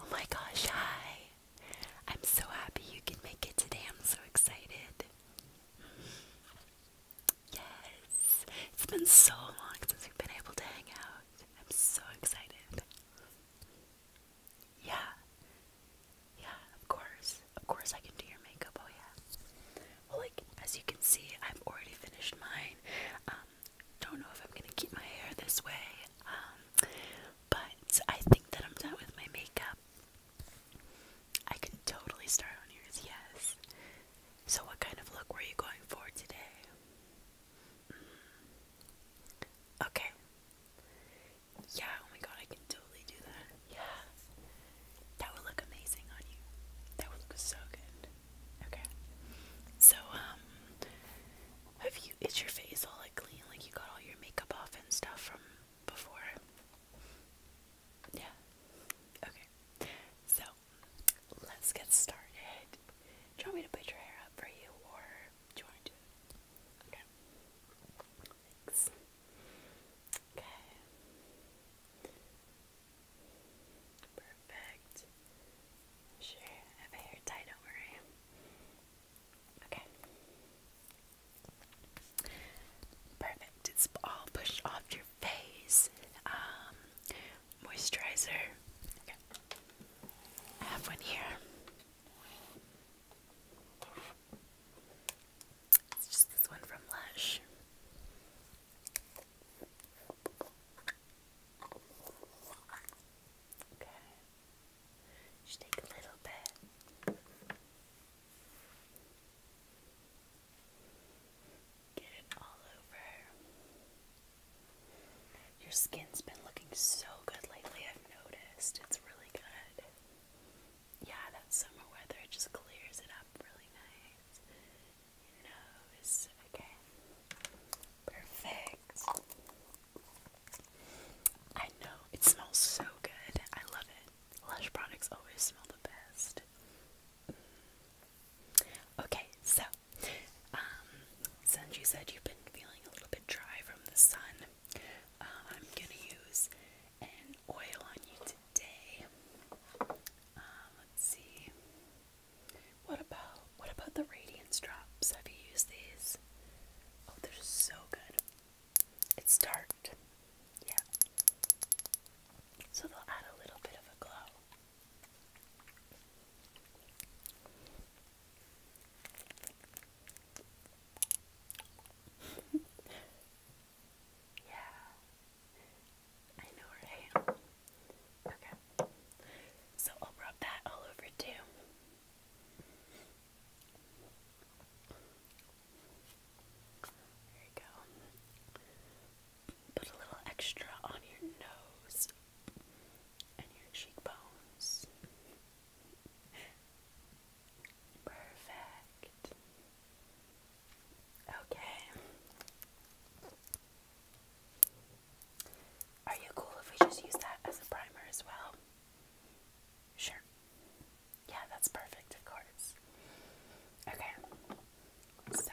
Oh my gosh, hi! I'm so happy you could make it today. I'm so excited. Yes, it's been so long since we've been able to hang out. I'm so excited. Yeah, yeah, of course. Of course, I can do your makeup. Oh, yeah like as you can see, I've already finished mine. Um, don't know if I'm gonna keep my hair this way, um, but I think that I'm done with my makeup. I can totally start on yours, yes. So, what kind of look were you going for today? Mm-hmm. Okay. Yeah, oh my god, I can totally do that. Yeah. That would look amazing on you. That would look so good. Okay. So, um, have you, is your face all like clean? Like you got all your makeup off and stuff from before? Yeah. Okay. So, let's get started. Do you want me to put your hair up for you or do you want to do it? Okay. Thanks. Okay. Perfect. sure have a hair tie, don't worry. Okay. Perfect. It's all pushed off your face. Um, moisturizer. Okay. have one here. It's just this one from Lush. Okay. Just take a little bit. Get it all over. Your skin's been looking so good lately, I've noticed. It's really good yeah, that summer weather it just clears it up really nice. Your nose, okay. Perfect. I know, it smells so good. I love it. Lush products always smell the best. Mm. Okay, so, um, since you said you've been feeling a little bit dry from the sun, um, I'm gonna use and oil on you today. Um, let's see. What about what about the radiance drops? Have you used these? Oh, they're so good. It's dark. Yeah. So they'll add a little bit of a glow. yeah. I know, right? Okay. So I'll rub that all over too. There you go. Put a little extra on your nose and your cheekbones. Perfect. Okay. Are you cool if we just use that as a primer as well? Sure. Yeah, that's perfect, of course. Okay. So,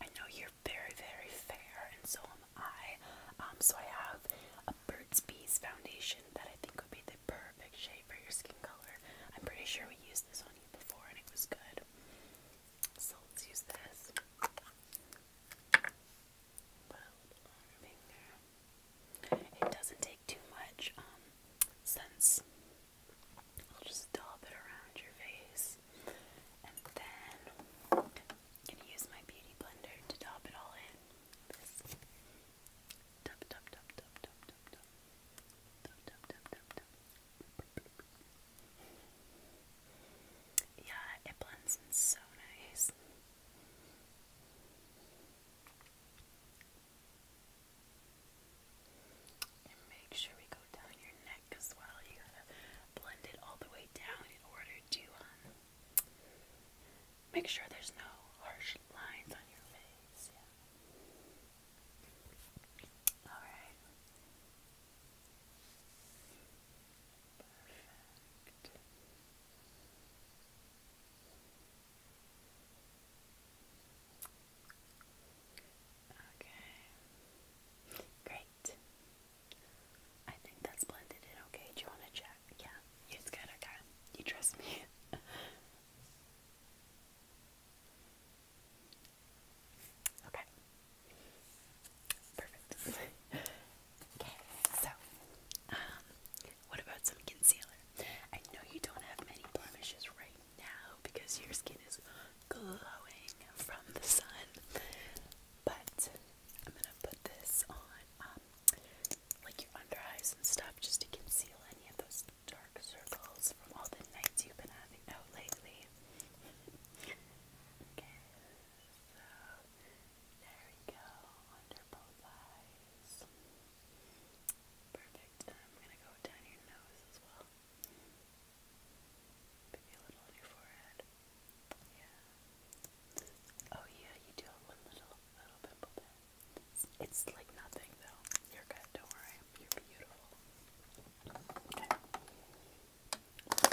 I know you're very, very fair, and so am I. Um, so I have a Burt's Bees foundation that I think would be the perfect shade for your skin color. I'm pretty sure we used this on you before and it was good. So let's use this. It doesn't take too much, um, since I'll just dollop it around your face. And then gonna use my beauty blender to top it all in. This. Top, top, top, top, top, yeah, it blends so nice. make sure we go down your neck as well. You gotta blend it all the way down in order to um, make sure there's no harsh lines on your face. Alright. Perfect. Okay. Great. I think that's blended in okay. Do you want to check? Yeah, you just gotta, gotta you trust me. Okay. Perfect. okay, so, um, what about some concealer? I know you don't have many blemishes right now because your skin is glowing from the sun, but I'm gonna put this on um, like your under eyes and stuff just to conceal any of those dark circles from all the nights you've been having out lately. okay, so there we go, under both eyes. Perfect. And I'm gonna go down your nose as well. Maybe a little on your forehead. Yeah. Oh yeah, you do have one little little pimple there. It's, like nothing though. You're good, don't worry. You're beautiful. Okay.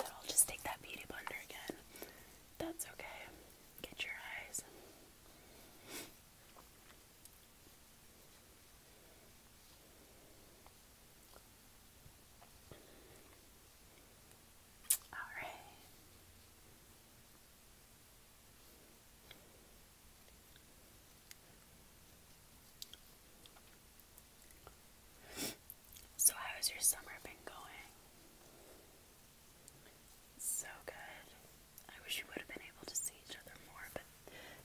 I'll just take that beauty blender again. That's okay. Get your eyes. All right. So, how's your summer been going? So good. I wish you would have been able to see each other more, but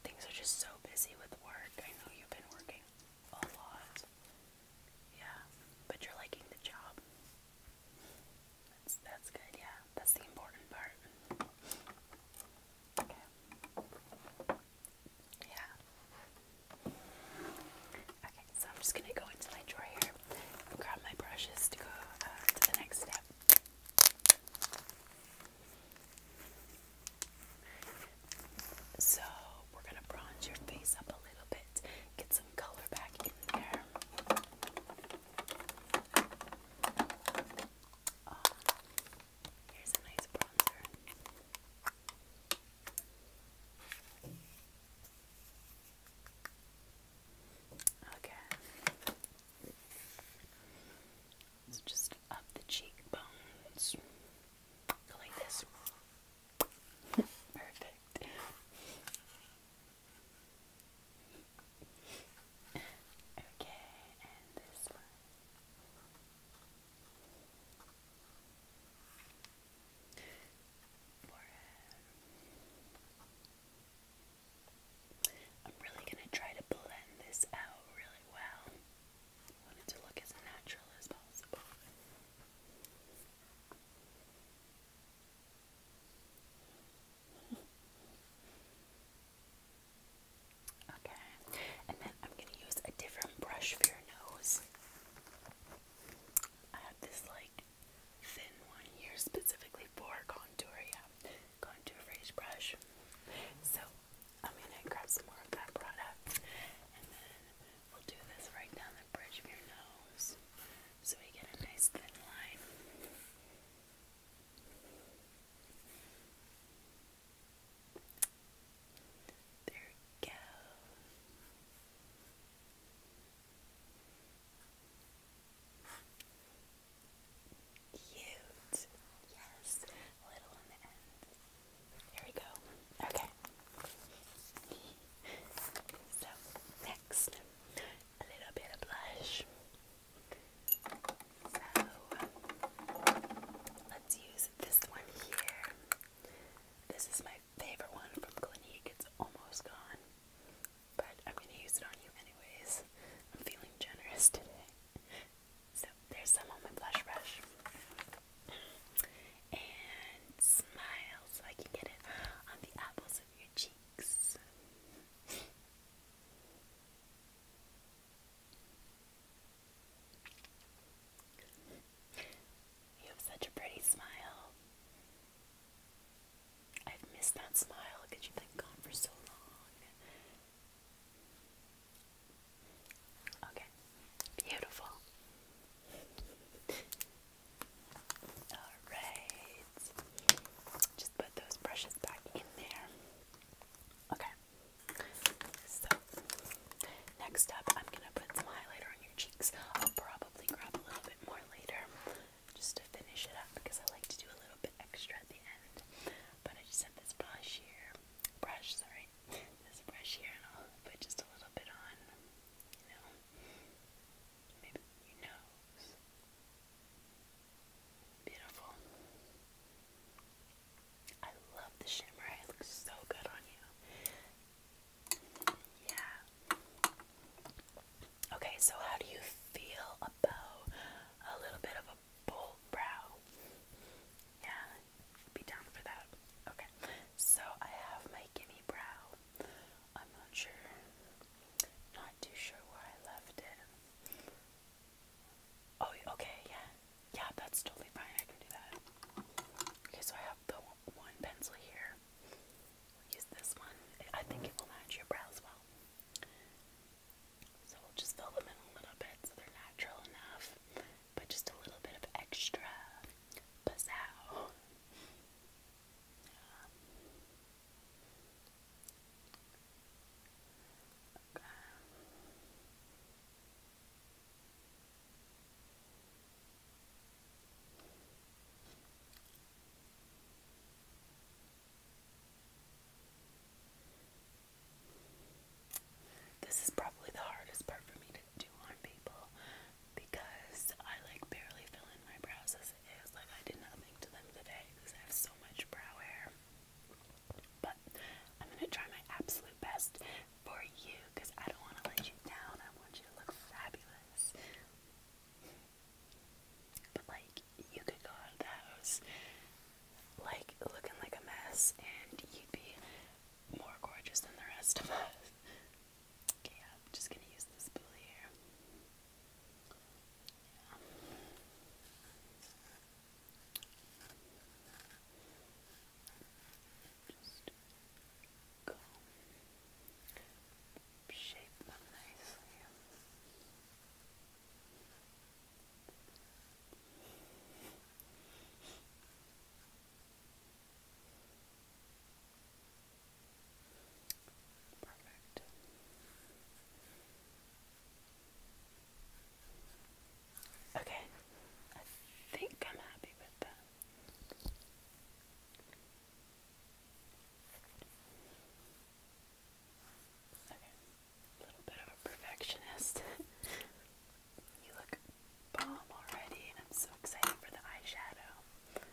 things are just so busy with work. I know you've been working a lot. Yeah, but you're liking the job. That's, good, yeah. That's the important part. Okay. Yeah. Okay, so I'm just gonna go into my drawer here and grab my brushes to go uh, to the next step. So we're gonna bronze your face up a little bit, get some color back in there here's a nice bronzer. Okay. just up the cheekbones. like this. Perfect okay, and this one. I'm really going to try to blend this out really well. I to look as natural as possible. Okay, and then I'm going to use a different brush for your nose. I have this like thin one here specifically for contour, yeah, brush. So I'm going to grab some more of that product and then we'll do this right down the bridge of your nose so we get a nice thin line. There we go. Cute. Yes. little on the end. There we go. Okay. so next a little bit of blush. So let's use this one here. This is my favorite one from Clinique. It's almost gone, but I'm gonna use it on you anyways. I'm feeling generous today. So there's some on my blush brush. And smile so I can get it on the apples of your cheek. You have such a pretty smile. I've missed that smile because you've been gone for so long. Okay, beautiful. Alright. Just put those brushes back in there. Okay. So, next up, I'm going to put some highlighter on your cheeks. I'll probably grab a little bit more later just to finish it up because I like to do a little bit extra at the end. But I just have this brush here. Brush, sorry. This brush here, and I'll put just a little bit on. You know? maybe your nose. Beautiful. I love the shimmer. It looks so good on you. Yeah. Okay, so how do you feel about a little bit of a bold brow? Yeah, be down for that. Okay, so I have my gimme brow. I'm not sure not too sure where I left it. Oh, okay, yeah. Yeah, that's totally fine. I can do that. Okay, so I have the one pencil here. use this one. I think it will match your brows well. So we'll just fill them in a little bit so they're natural enough, but just a little bit of extra pizzazz. Okay. This is probably the hardest part for me to do on people because I like barely fill in my brows as it is. Like I did nothing to them today because I have so much brow hair. But I'm gonna try my absolute best for you because I don't want to let you down. I want you to look fabulous. But like you could go out of the house like looking like a mess and you'd be more gorgeous than the rest of us. Okay, yeah, I'm just gonna use this spool here. Yeah. Just go shape them nicely. Okay. Perfect. Okay, I think I'm happy with that. Okay, a little bit of a perfectionist. you look bomb already, and I'm so excited for the eyeshadow.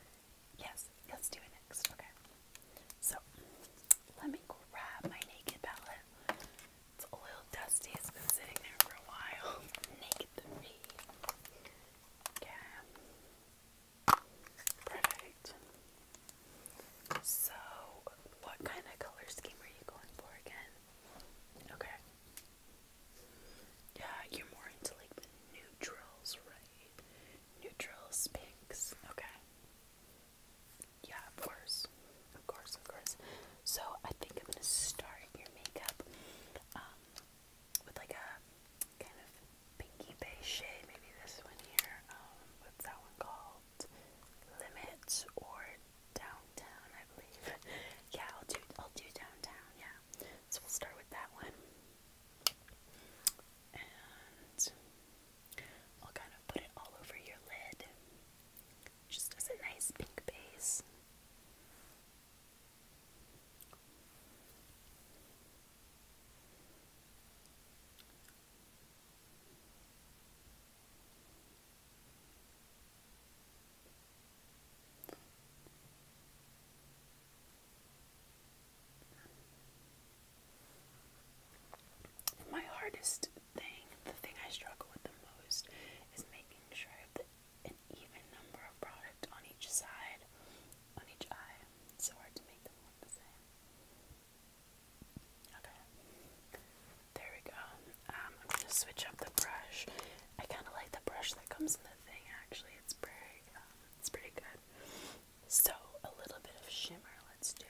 Yes, let's do it next. Okay. So let me grab my naked palette. It's a little dusty, it's been sitting there for a while. Naked three. Okay. Perfect. So what kind of color scheme are you going for again? Okay. Yeah, you're more into like the neutrals, right? Neutrals, pinks. Okay. Yeah, of course. Of course, of course. So I think I'm gonna start your makeup um, with like a kind of pinky beige shade. Maybe this one here. Um, what's that one called? Limits or downtown, I believe. yeah, I'll do I'll do downtown. Yeah, so we'll start with that one. And I'll kind of put it all over your lid. Just as a nice pink base. My hardest thing, the thing I struggle with the most, is making sure that an even number of product on each side, on each eye. It's so hard to make them look the same. Okay, there we go. Um, I'm gonna switch up the brush. I kind of like the brush that comes in the thing actually. It's pretty, um, it's pretty good. So a little bit of shimmer. Let's do.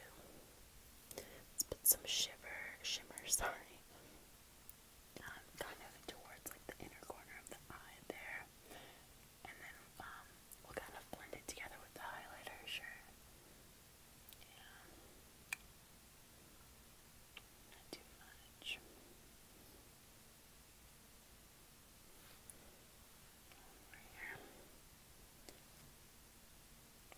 some shiver, shimmer. Sorry. Um, kind of towards like the inner corner of the eye there, and then um, we'll kind of blend it together with the highlighter. Sure. Yeah. Not too much.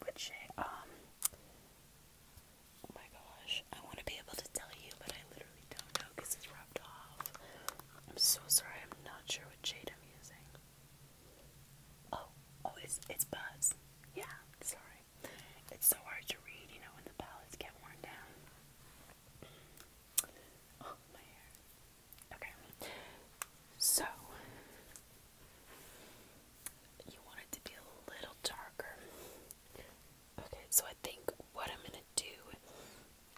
Which um oh my gosh, I want to be able to tell you, but I literally don't know because it's rubbed off. I'm so sorry, I'm not sure what shade I'm using. Oh, oh, it's it's Buzz. Yeah, sorry. It's so hard to read, you know, when the palettes get worn down. Oh, okay. So, you want to be a little darker. Okay, so I think what I'm going to do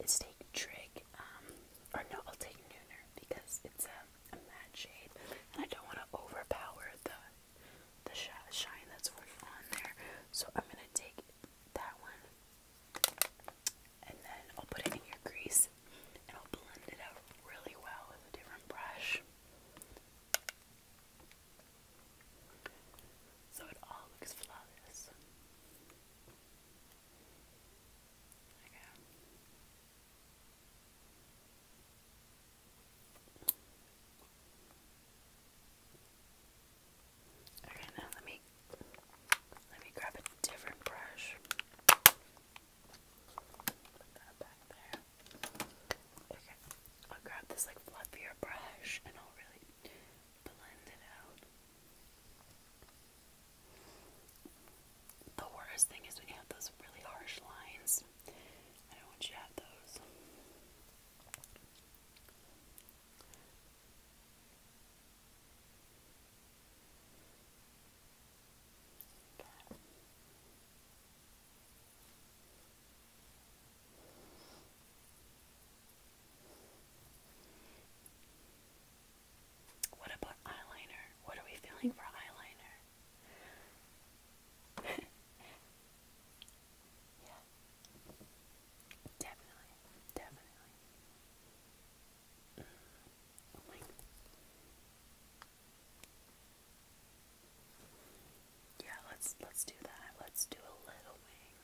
is take Trig, um, or no, I'll take Nooner because it's a, a matte shade and I don't want to overpower the the sh shine that's already on there. So I'm going to take that one, and then I'll put it in your grease and I'll blend it out really well with a different brush. So it all looks flawless. Okay. Okay, now let me let me grab a different brush. Put that back there. Okay, I'll grab this like fluffier brush and I'll really blend it out. The worst thing is when you have those really harsh lines. I don't want you to have those. That. What about eyeliner? What are we feeling for eyeliner? Yeah. Definitely. Definitely. Oh yeah, let's let's do that. Let's do a little wing.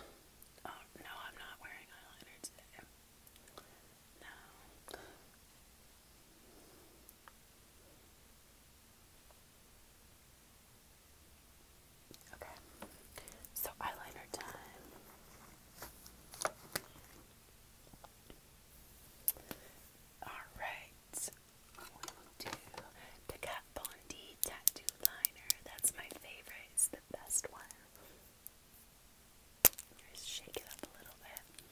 Oh no, I'm not wearing eyeliner today. No. Okay, so eyeliner time. Alright, we will do the Kat Von D tattoo liner. That's my favorite, it's the best one. Just shake it up a little bit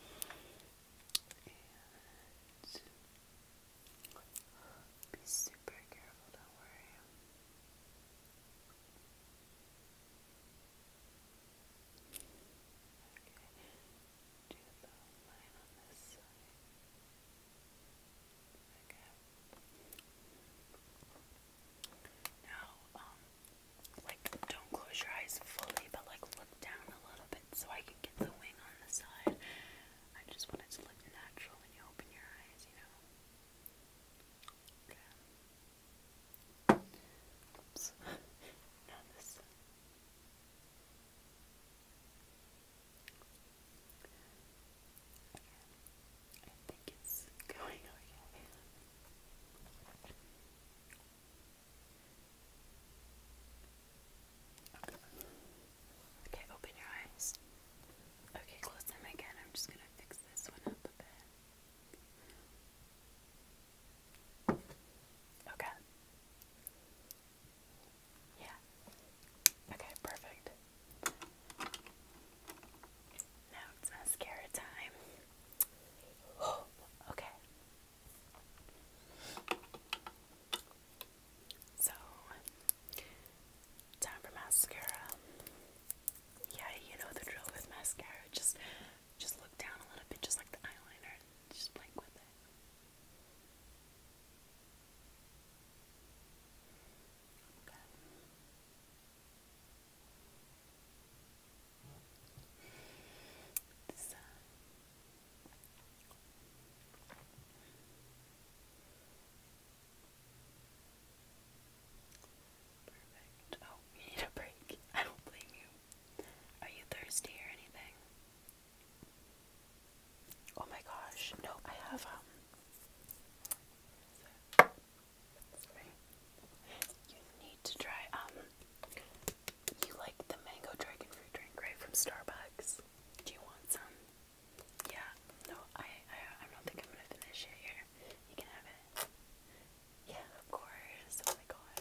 be super careful, don't worry. Okay, do the line on this Okay. Now, um, like, don't close your eyes fully, but like, look down a little bit so I can get the wing on the side. I just want it to look natural when you open your eyes, you know? Okay. Oops. Not this. I think it's going okay. Okay, open your eyes. Okay, close them again. I'm just gonna fix this one up a bit. Okay. Yeah. Okay, perfect. Now it's mascara time. okay. So, time for mascara. Yeah, you know the drill with mascara. Just, just look down a little bit, just like the eyeliner, just blink with it. Okay. This uh, Perfect. Oh, you need a break. I don't blame you. Are you thirsty or anything? Oh my gosh. No, I have um Sorry. You need to try um you like the mango dragon fruit drink, right, from Starbucks? Do you want some? Yeah. No, I, I, I don't think I'm gonna finish it here. You can have it. Yeah, of course. Oh my god.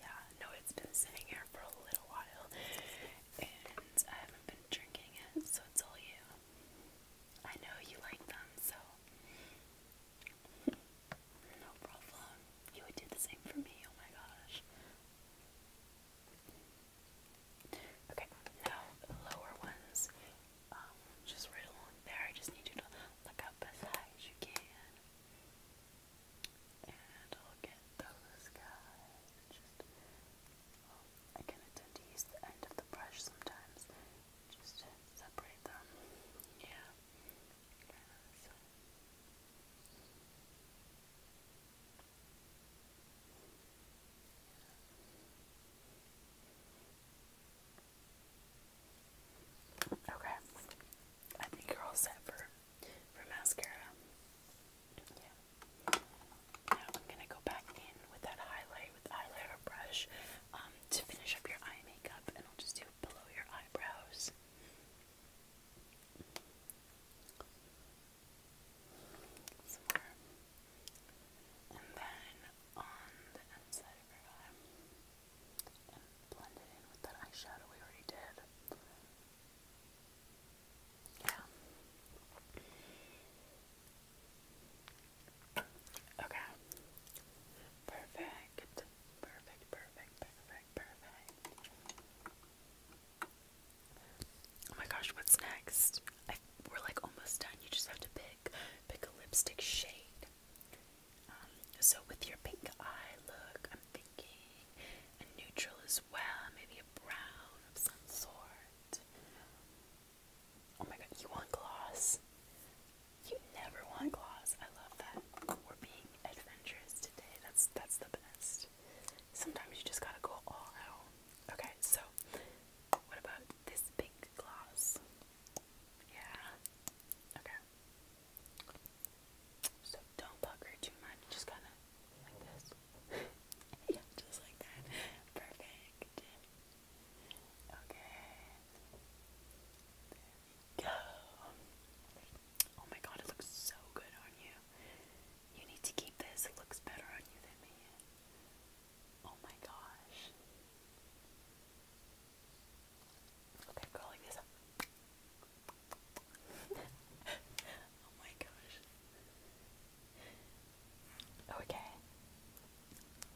Yeah, no, it's been sitting here for a little while, and I haven't been drinking it, so it's all you. I know you like them, so no problem. You would do the same for me. Oh my gosh. Okay, now lower ones, um, just right along there. I just need you to look up as high as you can, and look at those guys. Just, oh, I kind tend to use the end of the brush sometimes, just to separate them. Yeah brazo. Okay, I think you're all set for for mascara. Now I'm gonna go back in with that highlight with the brush um, to finish up your eye makeup, and I'll just do below your eyebrows. Some more. And then on the inside of your eye, and blend it in with that eyeshadow we already did. Yeah. Okay. Perfect. Perfect, perfect, perfect, perfect. Oh my gosh, what's next? I, we're like almost done. You just have to pick pick a lipstick shade. Um, so with your pink eye look, I'm thinking a neutral as well, maybe a brown of some sort. Oh my god, you want gloss? You never want claws. I love that. We're being adventurous today. That's that's the best. Sometimes you just gotta go all out. Okay, so what about this big gloss? Yeah. Okay. So don't pucker too much. Just kind of like this. yeah, just like that. Perfect. Okay. There Oh my god, it looks so good on you. You need to keep this. It looks better on you than me. Oh my gosh. Okay, go like this. oh my gosh. Okay.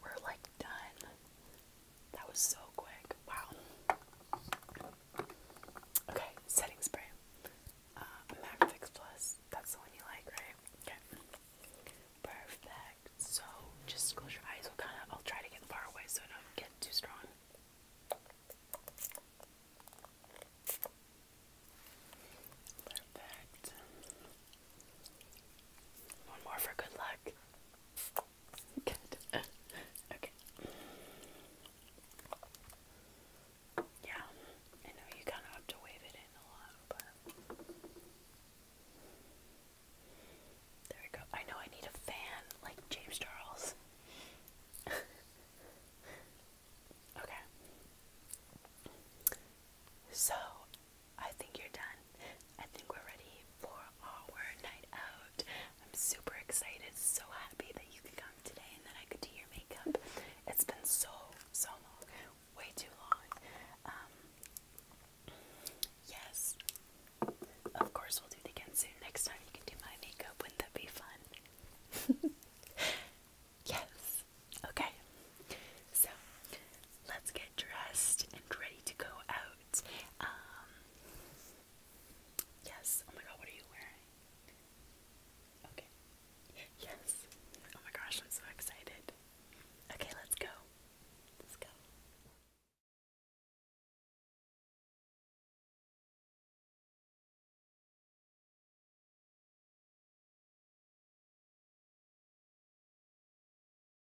We're like done. That was so quick. Wow. Okay, setting spray. Uh, Mac Fix Plus. That's the one you like, right? Okay. Perfect. So just close your eyes. We'll kind of. I'll try to get far away so I don't get too strong. Perfect. One more for good luck. Good. okay. Yeah, I know you kind of have to wave it in a lot, but. There we go. I know I need a fan, like James Charles. okay. So, I think you're done. I think we're ready for our night out. I'm super excited, so happy that you could come today and that I could do your makeup. It's been so, so long. Way too long. Um, yes. Of course, we'll do it again soon. Next time you can do my makeup. Wouldn't that be fun? yes. Okay. So, let's get dressed and ready to go out. Um, yes. Oh my god, what are you wearing? Okay. Yes. Oh my gosh, I'm so excited. Okay, let's go. Let's go.